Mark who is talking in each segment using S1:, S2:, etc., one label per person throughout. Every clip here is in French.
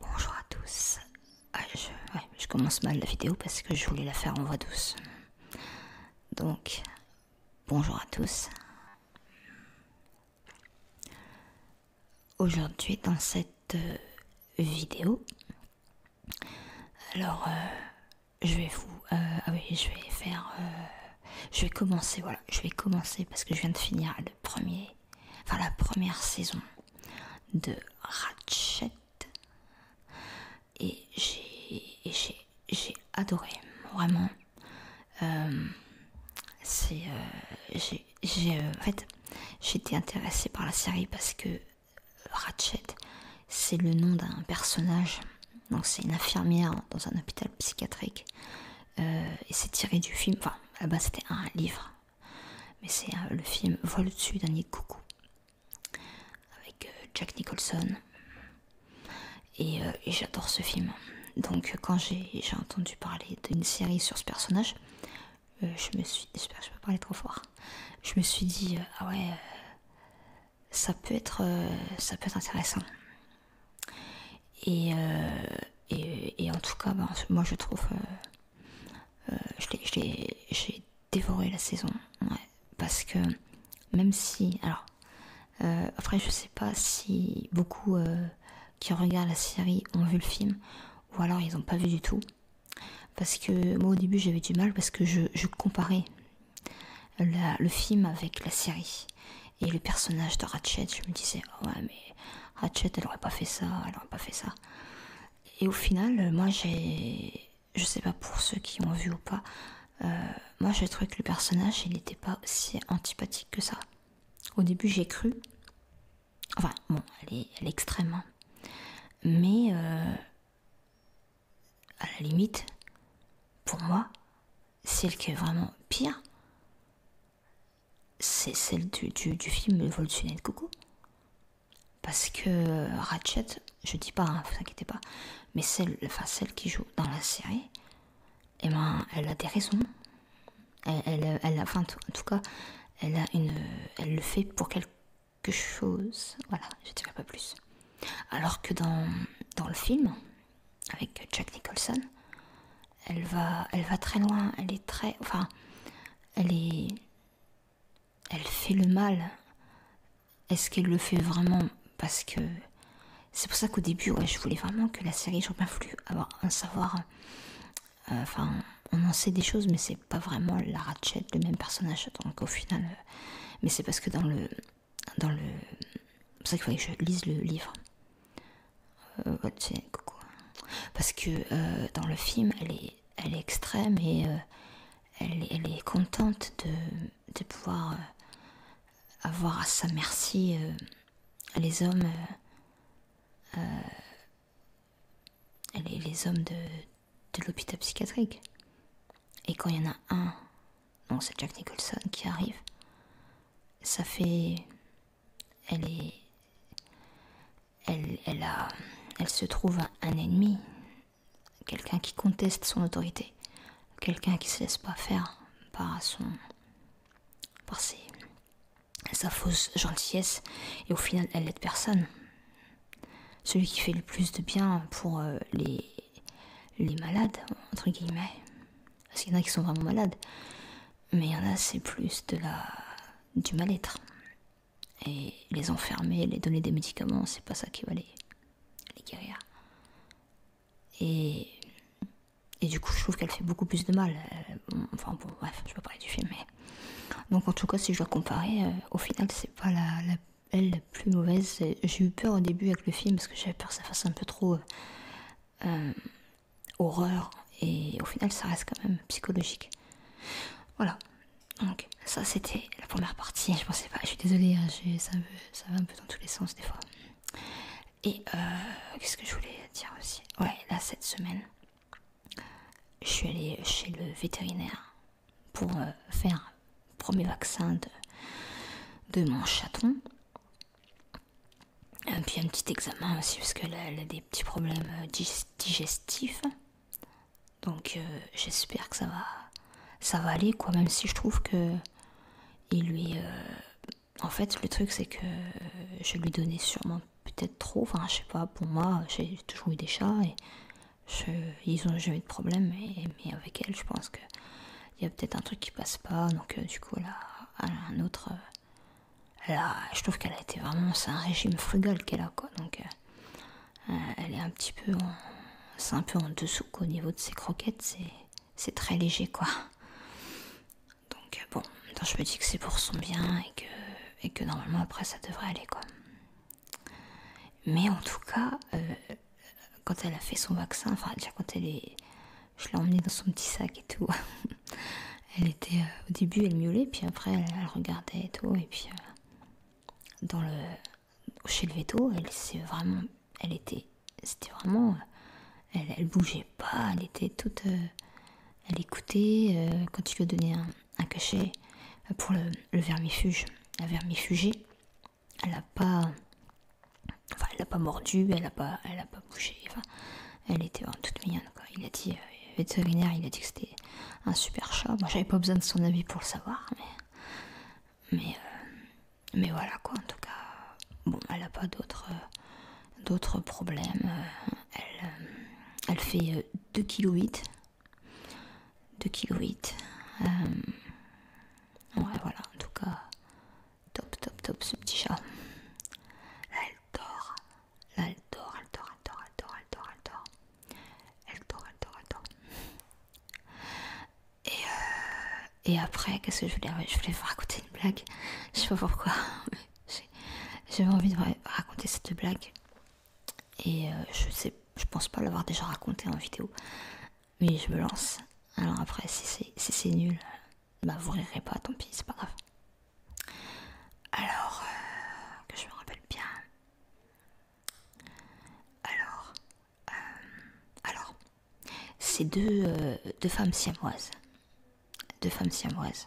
S1: Bonjour à tous. Ah, je, commence mal la vidéo parce que je voulais la faire en voix douce. Donc, bonjour à tous. Aujourd'hui, dans cette euh, vidéo, alors euh, je vais vous, euh, ah oui, je vais faire, je vais commencer, voilà, je vais commencer parce que je viens de finir le premier enfin la première saison de Ratchet et j'ai adoré vraiment euh, euh, j'ai euh, j'étais intéressée par la série parce que Ratchet c'est le nom d'un personnage donc c'est une infirmière dans un hôpital psychiatrique euh, et c'est tiré du film, enfin la base c'était un livre, mais c'est euh, le film "Vole dessus d'un nid coucou avec euh, Jack Nicholson. Et, j'adore ce film. Donc quand j'ai entendu parler d'une série sur ce personnage, je me suis, j'espère je peux parler trop fort. Je me suis dit ah ouais, ça peut être, ça peut être intéressant. Euh, et, en tout cas, ben, moi je trouve. que euh, euh, J'ai dévoré la saison. parce que même si. Alors, après, je sais pas si beaucoup qui regardent la série ont vu le film ou alors ils n'ont pas vu du tout. Parce que moi au début j'avais du mal parce que je, je comparais le film avec la série. Et le personnage de Ratchet, je me disais, oh ouais, mais Ratchet, elle aurait pas fait ça, elle aurait pas fait ça. Et au final, moi j'ai. Je sais pas pour ceux qui ont vu ou pas, euh, moi j'ai trouvé que le personnage, il n'était pas aussi antipathique que ça. Au début, j'ai cru. Enfin, bon, elle est, extrême. Hein. Mais euh, à la limite, pour moi, celle qui est vraiment pire, c'est celle du, film Le vol de Parce que euh, Ratchet, je dis pas, ne hein, vous inquiétez pas, mais celle, enfin celle qui joue dans la série, et eh ben, elle a des raisons. Elle, en tout cas, elle le fait pour quelque chose. Voilà, je dirais pas plus. Alors que dans le film, avec Jack Nicholson. Elle va, elle va très loin, elle est très... Enfin, elle est... Elle fait le mal. Est-ce qu'elle le fait vraiment Parce que... C'est pour ça qu'au début, je voulais vraiment que la série, j'aurais bien voulu avoir un savoir... Euh, enfin, on en sait des choses, mais c'est pas vraiment la Ratchet, le même personnage. Donc au final... Euh, mais c'est parce que dans le, dans le. C'est ça qu'il que je lise le livre. Euh, Parce que euh, dans le film, elle est, elle est extrême et euh, elle, est contente de, pouvoir avoir à sa merci les hommes. les hommes de, de l'hôpital psychiatrique. Et quand il y en a un, donc c'est Jack Nicholson qui arrive, ça fait. Elle est. Elle, se trouve un ennemi, quelqu'un qui conteste son autorité, quelqu'un qui se laisse pas faire par son. par sa fausse gentillesse, et au final elle n'aide personne celui qui fait le plus de bien pour euh, les, les malades, entre guillemets. Parce qu'il y en a qui sont vraiment malades, mais il y en a, c'est plus de la, du mal-être. Et les enfermer, les donner des médicaments, c'est pas ça qui va les, les guérir. Et, et du coup, je trouve qu'elle fait beaucoup plus de mal. Euh, enfin, bon, bref, je peux parler du film, mais. Donc, en tout cas, si je dois comparer, euh, au final, c'est pas la, la elle, la plus mauvaise. J'ai eu peur au début avec le film parce que j'avais peur que ça fasse un peu trop euh, euh, horreur. Et au final, ça reste quand même psychologique. Voilà. Donc, ça, c'était la première partie. Je pensais pas, je suis désolée, hein, ça, va un peu dans tous les sens des fois. Et euh, qu'est-ce que je voulais dire aussi Ouais, là, cette semaine, je suis allée chez le vétérinaire pour euh, faire un premier vaccin de, de mon chaton. Et puis un petit examen aussi parce elle a des petits problèmes euh, digestifs. Donc euh, j'espère que ça va, ça va aller quoi. Même si je trouve que il lui, en fait le truc c'est que je lui donnais sûrement peut-être trop, enfin je sais pas, pour moi j'ai toujours eu des chats et ils ont jamais eu de problème, mais, avec elle je pense que il y a peut-être un truc qui passe pas, donc euh, du coup là, un autre, euh, là, je trouve qu'elle a été vraiment, c'est un régime frugal qu'elle a quoi, donc euh, elle est un petit peu, c'est un peu en dessous qu'au niveau de ses croquettes, c'est très léger quoi. Donc bon, je me dis que c'est pour son bien et que et que normalement après ça devrait aller quoi. Mais en tout cas, euh, quand elle a fait son vaccin, enfin déjà quand elle est, je l'ai emmenée dans son petit sac et tout. elle était euh, au début elle miaulait, puis après elle, regardait et tout, et puis euh, dans le chez le veto, elle vraiment, elle était, c'était vraiment, elle, bougeait pas, elle était toute, elle écoutait, euh, quand tu lui as donné un, cachet euh, pour le, vermifuge, la vermifugée. Elle n'a pas, pas mordu, elle n'a pas, elle pas bougé. elle était en toute mignonne. Il a dit, euh, vétérinaire, il a dit que c'était un super chat. Moi, j'avais pas besoin de son avis pour le savoir, mais, voilà quoi. En tout cas, bon, elle n'a pas d'autres, problèmes. Euh, elle, fait 2 kg. 2 kg. Ouais, voilà, en tout cas, top, top, top ce petit chat. Là, elle dort. elle dort, elle dort, elle dort, elle dort, elle dort, elle dort. Elle dort, Et, euh, après, qu'est-ce que je voulais Je voulais vous raconter une blague. Je sais pas pourquoi. J'avais envie de raconter cette blague. Et euh, je sais, je pense pas l'avoir déjà racontée en vidéo. Mais je me lance. Alors après, si c'est nul, bah vous rirez pas, tant pis, c'est pas grave. Alors, euh, que je me rappelle bien. Alors, euh, alors, ces deux, deux femmes siamoises de femmes siamoises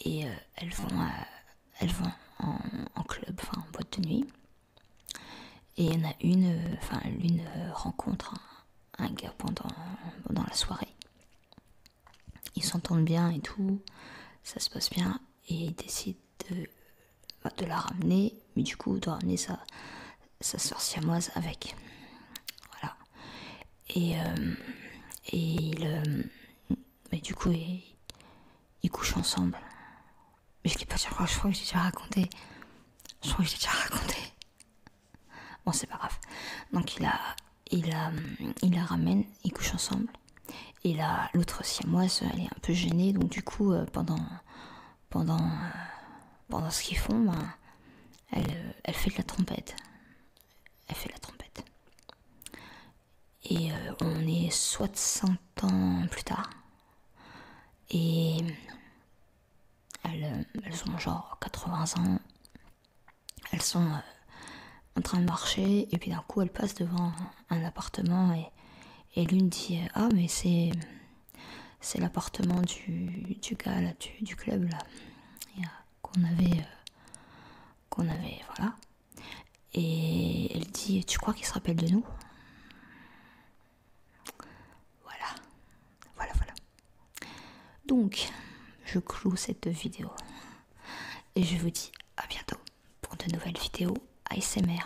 S1: et euh, elles vont, euh, elles vont en, club, en boîte de nuit. Et il y en a une, euh, enfin l'une rencontre un, gars pendant, la soirée. Ils s'entendent bien et tout, ça se passe bien et il décide de, bah, de la ramener, mais du coup de ramener sa, sa soeur siamoise avec. Voilà. Euh, et, il. mais euh, du coup, ils, couchent ensemble. Mais je l'ai pas déjà je crois que j'ai déjà raconté. Je crois que déjà raconté. Bon, c'est pas grave. Donc, il a. Il la, il la ramène, ils couchent ensemble. Et là, l'autre siamoise, elle est un peu gênée, donc du coup, euh, pendant, pendant, euh, pendant ce qu'ils font, ben, euh, elle, fait de la trompette. Elle fait la trompette. Et euh, on est 60 ans plus tard. Et elles, ont genre 80 ans. Elles sont en train de marcher et puis d'un coup elles passent devant un appartement et, et l'une dit Ah mais c'est c'est l'appartement du, gars là, du, club là qu'on avait euh, qu'on avait voilà et elle dit tu crois qu'il se rappelle de nous voilà voilà voilà donc je cloue cette vidéo et je vous dis à bientôt pour de nouvelles vidéos ASMR